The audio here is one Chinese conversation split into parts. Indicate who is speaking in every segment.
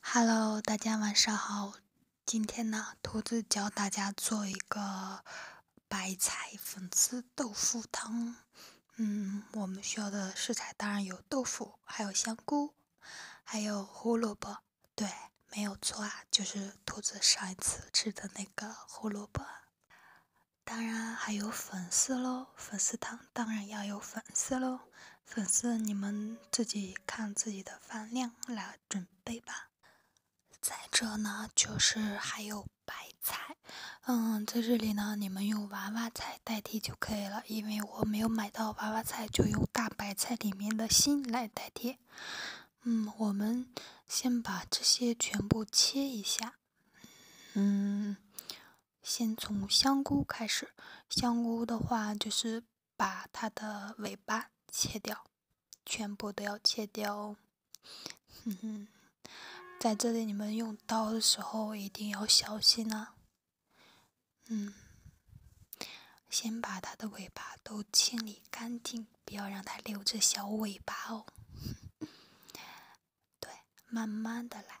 Speaker 1: Hello，大家晚上好。今天呢，兔子教大家做一个白菜粉丝豆腐汤。嗯，我们需要的食材当然有豆腐，还有香菇，还有胡萝卜。对，没有错啊，就是兔子上一次吃的那个胡萝卜。当然还有粉丝喽，粉丝汤当然要有粉丝喽。粉丝，你们自己看自己的饭量来准备吧。再者呢，就是还有白菜，嗯，在这里呢，你们用娃娃菜代替就可以了，因为我没有买到娃娃菜，就用大白菜里面的芯来代替。嗯，我们先把这些全部切一下，嗯。先从香菇开始，香菇的话就是把它的尾巴切掉，全部都要切掉哦。哼哼，在这里你们用刀的时候一定要小心啊。嗯，先把它的尾巴都清理干净，不要让它留着小尾巴哦。对，慢慢的来。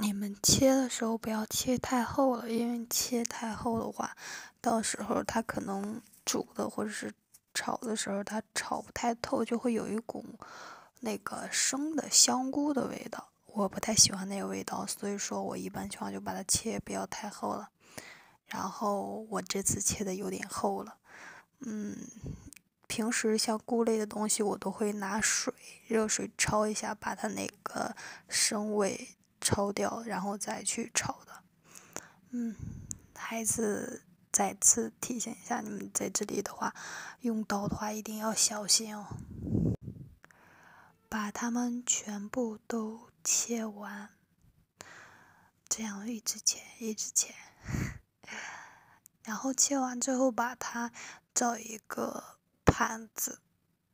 Speaker 1: 你们切的时候不要切太厚了，因为切太厚的话，到时候它可能煮的或者是炒的时候它炒不太透，就会有一股那个生的香菇的味道。我不太喜欢那个味道，所以说我一般情况就把它切不要太厚了。然后我这次切的有点厚了，嗯，平时像菇类的东西我都会拿水热水焯一下，把它那个。生味抽掉，然后再去炒的。嗯，还是再次提醒一下你们在这里的话，用刀的话一定要小心哦。把它们全部都切完，这样一直切，一直切。然后切完之后，把它照一个盘子。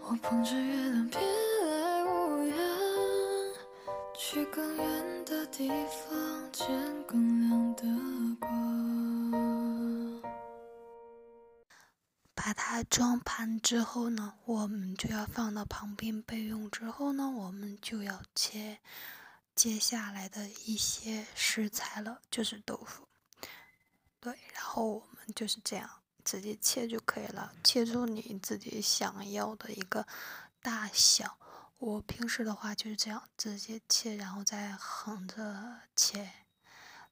Speaker 1: 我捧着月亮别来无恙去更远的地方见更亮的光把它装盘之后呢我们就要放到旁边备用之后呢我们就要切接下来的一些食材了就是豆腐对，然后我们就是这样直接切就可以了，切出你自己想要的一个大小。我平时的话就是这样直接切，然后再横着切，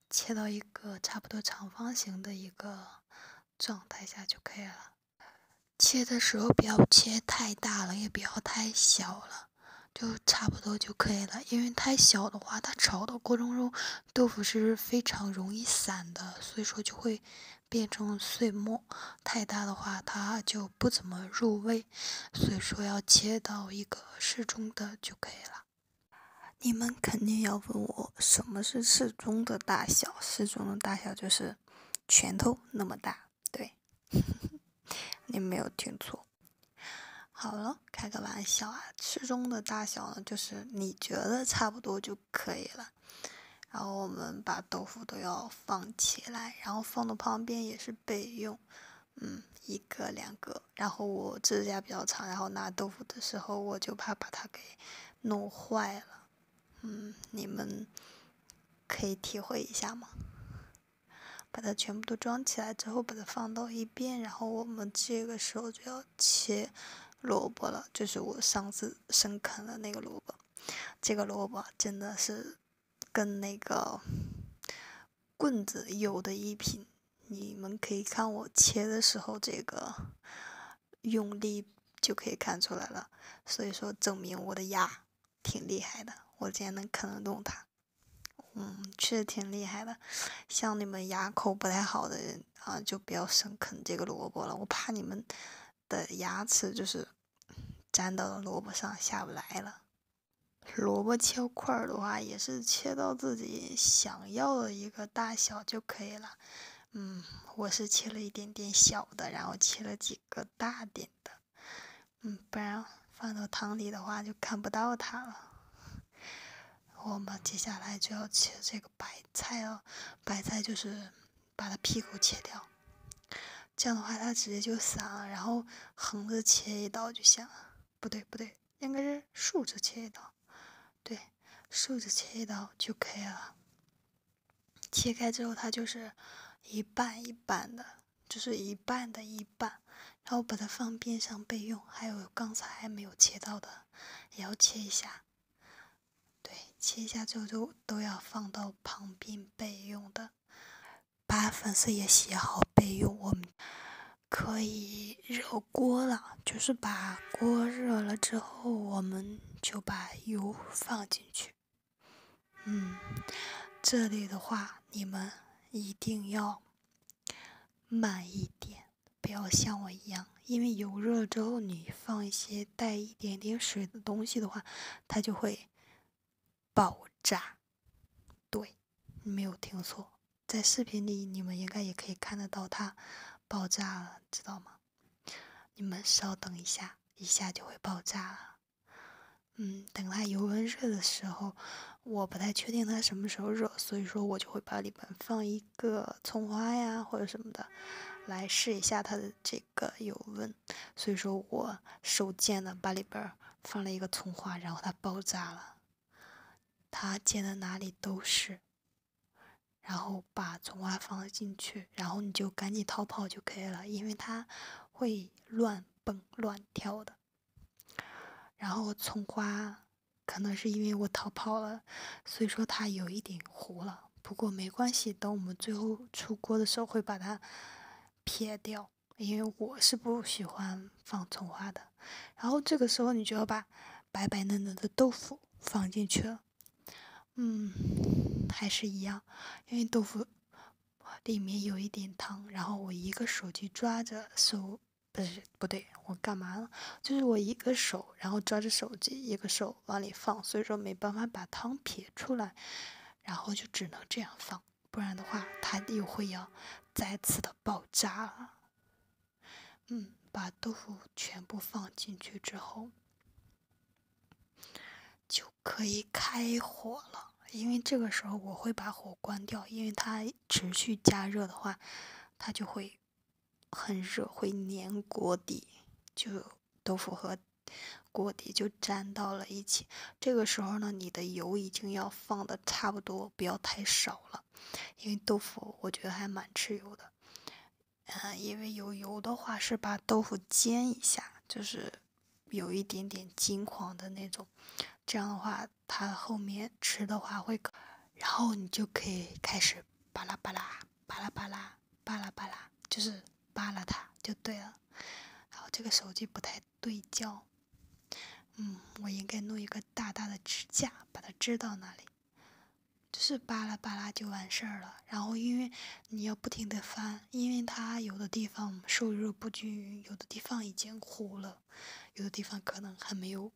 Speaker 1: 切到一个差不多长方形的一个状态下就可以了。切的时候不要切太大了，也不要太小了，就差不多就可以了。因为太小的话，它炒的过程中豆腐是非常容易散的，所以说就会变成碎末。太大的话，它就不怎么入味，所以说要切到一个适中的就可以了。你们肯定要问我，什么是适中的大小？适中的大小就是拳头那么大，对，你没有听错。好了。开个玩笑啊，适中的大小呢，就是你觉得差不多就可以了。然后我们把豆腐都要放起来，然后放到旁边也是备用。嗯，一个两个。然后我指甲比较长，然后拿豆腐的时候我就怕把它给弄坏了。嗯，你们可以体会一下吗？把它全部都装起来之后，把它放到一边，然后我们这个时候就要。切萝卜了，就是我上次深啃的那个萝卜。这个萝卜真的是跟那个棍子有的一拼，你们可以看我切的时候，这个用力就可以看出来了。所以说，证明我的牙挺厉害的，我竟然能啃得动它。嗯，确实挺厉害的。像你们牙口不太好的人。啊，就不要生啃这个萝卜了，我怕你们的牙齿就是粘到了萝卜上，下不来了。萝卜切块儿的话，也是切到自己想要的一个大小就可以了。嗯，我是切了一点点小的，然后切了几个大点的。嗯，不然放到汤里的话就看不到它了。我们接下来就要切这个白菜哦，白菜就是把它屁股切掉，这样的话它直接就散了。然后横着切一刀就行了。不对，不对，应该是竖着切一刀。对，竖着切一刀就可以了。切开之后，它就是一半一半的，就是一半的一半。然后把它放边上备用。还有刚才没有切到的。要切一下，对，切一下之后都都要放到旁边备用的，把粉丝也洗好备用。我们可以热锅了，就是把锅热了之后，我们就把油放进去。嗯，这里的话，你们一定要。慢一点，不要像我一样，因为油热了之后，你放一些带一点点水的东西的话，它就会爆炸。对，没有听错，在视频里你们应该也可以看得到它爆炸了，知道吗？你们稍等一下，一下就会爆炸了。嗯，等它油温热的时候。我不太确定它什么时候热，所以说我就会把里边放一个葱花呀，或者什么的，来试一下它的这个油温。所以说我手贱的把里边放了一个葱花，然后它爆炸了，它溅的哪里都是。然后把葱花放进去，然后你就赶紧逃跑就可以了，因为它会乱蹦乱跳的。然后葱花，可能是因为我逃跑了，所以说它有一点糊了。不过没关系，等我们最后出锅的时候会把它撇掉，因为我是不喜欢放葱花的。然后这个时候你就要把白白嫩嫩的豆腐放进去了，嗯，还是一样，因为豆腐里面有一点汤。然后我一个手去抓着手。不是不对，我干嘛了？就是我一个手，然后抓着手机，一个手往里放，所以说没办法把汤撇出来，然后就只能这样放，不然的话它又会要再次的爆炸。了。嗯，把豆腐全部放进去之后，就可以开火了。因为这个时候我会把火关掉，因为它。持续加热的话，它就会很热，会粘锅底，就豆腐和锅底就粘到了一起。这个时候呢，你的油已经要放的差不多，不要太少了，因为豆腐我觉得还蛮吃油的。嗯，因为有油的话是把豆腐煎一下，就是有一点点金黄的那种，这样的话。它后面吃的话会，然后你就可以开始巴拉巴拉巴拉巴拉巴拉巴拉，就是扒拉它就对了。然后这个手机不太对焦，嗯，我应该弄一个大大的支架把它支到那里，就是巴拉巴拉就完事儿了。然后因为你要不停的翻，因为它有的地方受热不均匀，有的地方已经糊了。有的地方可能还没有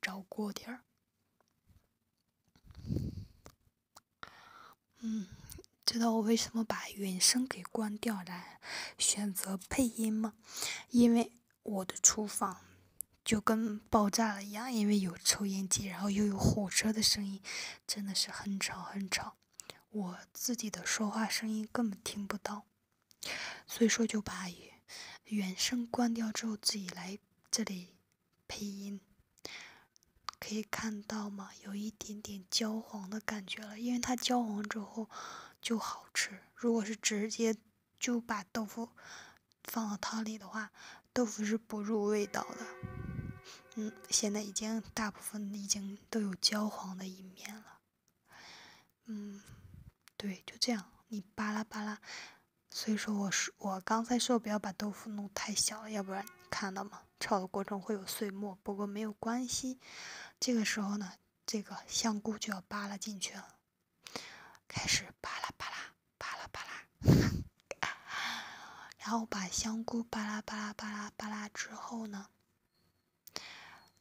Speaker 1: 着过点儿。嗯，知道我为什么把原声给关掉来选择配音吗？因为我的厨房就跟爆炸了一样，因为有抽烟机，然后又有火车的声音，真的是很吵很吵，我自己的说话声音根本听不到。所以说就把原声关掉之后自己来这里配音，可以看到吗？有一点点焦黄的感觉了，因为它焦黄之后就好吃。如果是直接就把豆腐放到汤里的话，豆腐是不入味道的。嗯，现在已经大部分已经都有焦黄的一面了。嗯，对，就这样。你巴拉巴拉，所以说我说我刚才说不要把豆腐弄太小，了，要不然你看到吗？炒的过程会有碎末，不过没有关系。这个时候呢，这个香菇就要扒拉进去了，开始扒拉扒拉扒拉扒拉，然后把香菇扒拉扒拉扒拉扒拉之后呢。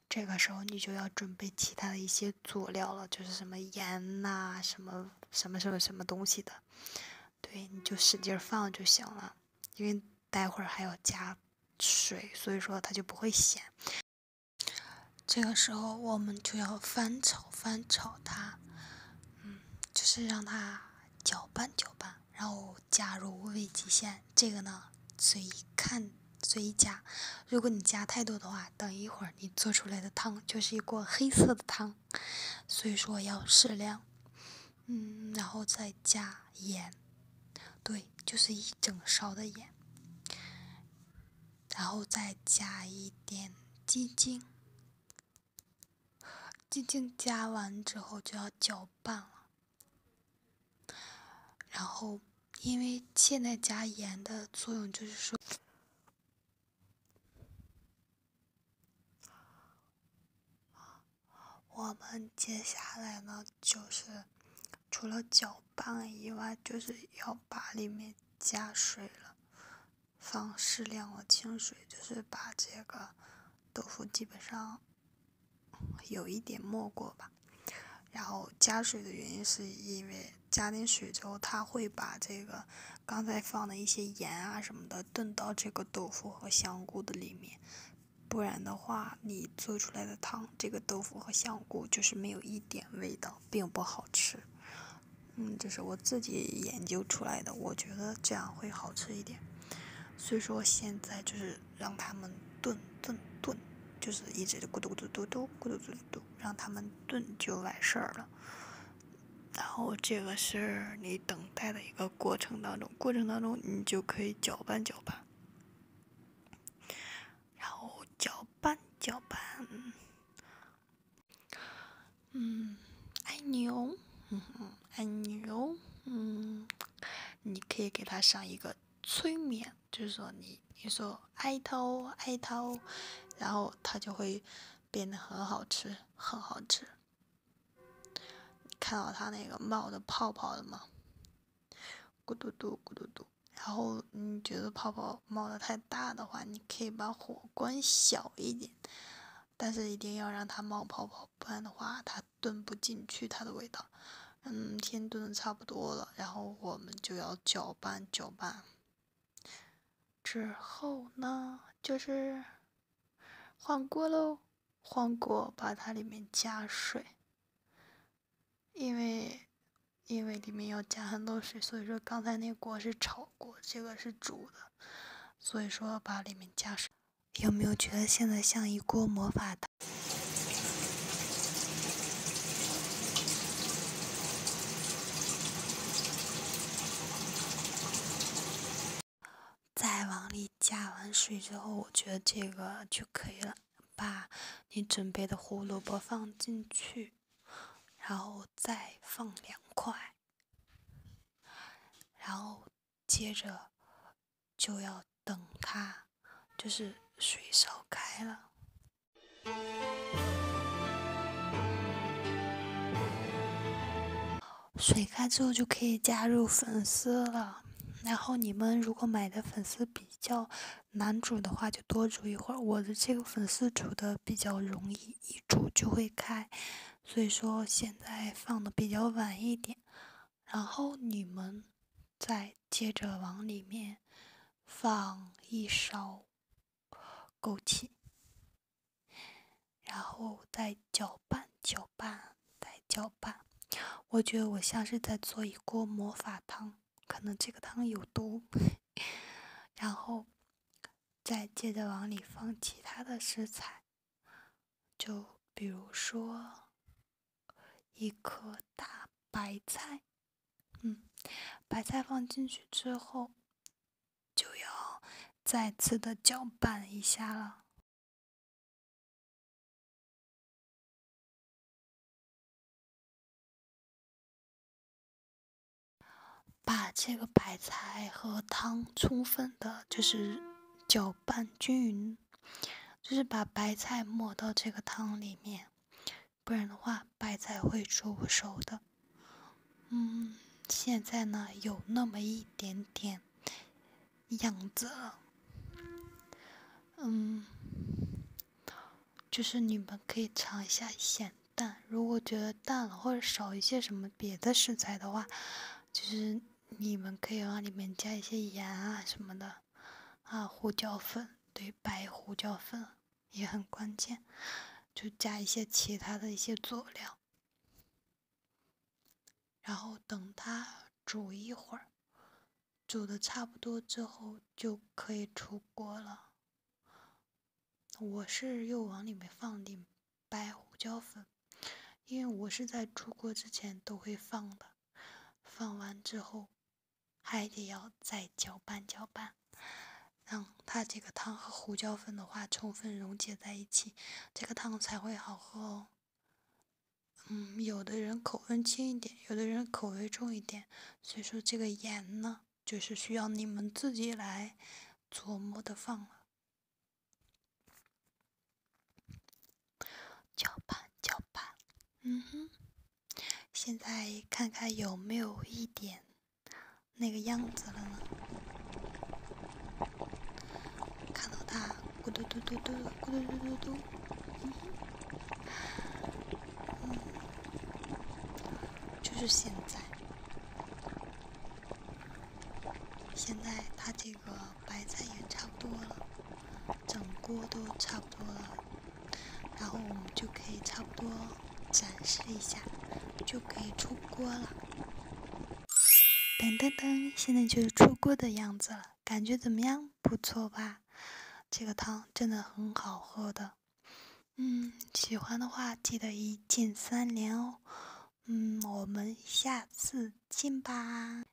Speaker 1: 这个时候你就要准备其他的一些佐料了，就是什么盐呐，什么什么什么什么东西的，对，你就使劲放就行了，因为待会儿还要加水，所以说它就不会咸。这个时候我们就要翻炒翻炒它，嗯，就是让它搅拌搅拌，然后加入味极鲜，这个呢，随意看。随意加，如果你加太多的话，等一会儿你做出来的汤就是一锅黑色的汤，所以说要适量。嗯，然后再加盐，对，就是一整勺的盐，然后再加一点鸡精，鸡精加完之后就要搅拌了。然后，因为现在加盐的作用就是说，我们接下来呢，就是除了搅拌以外，就是要把里面加水了，放适量的清水，就是把这个豆腐基本上有一点没过吧。然后加水的原因是因为加点水之后，它会把这个刚才放的一些盐啊什么的炖到这个豆腐和香菇的里面。不然的话，你做出来的汤，这个豆腐和香菇就是没有一点味道，并不好吃。嗯，这是我自己研究出来的，我觉得这样会好吃一点。所以说现在就是。让他们炖炖炖，就是一直咕嘟咕嘟嘟嘟咕嘟嘟嘟嘟，让他们炖就完事儿了。然后这个是你等待的一个过程当中，过程当中你就可以搅拌搅拌，然后搅拌搅拌，嗯，爱你哦，嗯爱你哦，嗯，你可以给他上一个催眠。就是说，你你说爱它哦，爱它哦，然后它就会变得很好吃，很好吃。看到它那个冒的泡泡了吗？咕嘟嘟，咕嘟嘟。然后你觉得泡泡冒的太大的话，你可以把火关小一点，但是一定要让它冒泡泡，不然的话它炖不进去它的味道。嗯，天炖的差不多了，然后我们就要搅拌搅拌。之后呢，就是换锅喽，换锅把它里面加水，因为因为里面要加很多水，所以说刚才那锅是炒锅，这个是煮的，所以说把里面加水。有没有觉得现在像一锅魔法糖？再往里加完水之后，我觉得这个就可以了。把你准备的胡萝卜放进去，然后再放两块，然后接着。就要等它，就是水烧开了。水开之后就可以加入粉丝了。然后你们如果买的粉丝比较难煮的话，就多煮一会儿。我的这个粉丝煮的比较容易，一煮就会开，所以说现在放的比较晚一点。然后你们再接着往里面放一勺枸杞，然后再搅拌搅拌再搅拌。我觉得我像是在做一锅魔法汤，可能这个汤有毒。然后再接着往里放其他的食材，就比如说。一颗大白菜，嗯，白菜放进去之后，就要再次的搅拌一下了，把这个白菜和汤充分的，就是搅拌均匀。就是把白菜抹到这个汤里面，不然的话白菜会煮不熟的。嗯，现在呢有那么一点点样子了。嗯，就是你们可以尝一下咸淡，如果觉得淡了或者少一些什么别的食材的话，就是你们可以往里面加一些盐啊什么的。啊，胡椒粉对，白胡椒粉也很关键，就加一些其他的一些佐料，然后等它煮一会儿，煮的差不多之后就可以出锅了。我是又往里面放点白胡椒粉，因为我是在出锅之前都会放的。放完之后，还得要再搅拌搅拌，让它这个汤和胡椒粉的话充分溶解在一起，这个汤才会好喝哦。嗯，有的人口味轻一点，有的人口味重一点，所以说这个盐呢，就是需要你们自己来琢磨的放了。搅拌搅拌，嗯哼，现在看看有没有一点那个样子了呢？看到他咕嘟嘟嘟嘟，咕嘟嘟嘟嘟，嗯哼，嗯，就是现在，现在他这。这个白菜也差不多了，整锅都差不多了，然后我们就可以差不多展示一下，就可以出锅了。噔噔噔，现在就是出锅的样子了，感觉怎么样？不错吧？这个汤真的很好喝的。嗯，喜欢的话记得一键三连哦。嗯，我们下次见吧。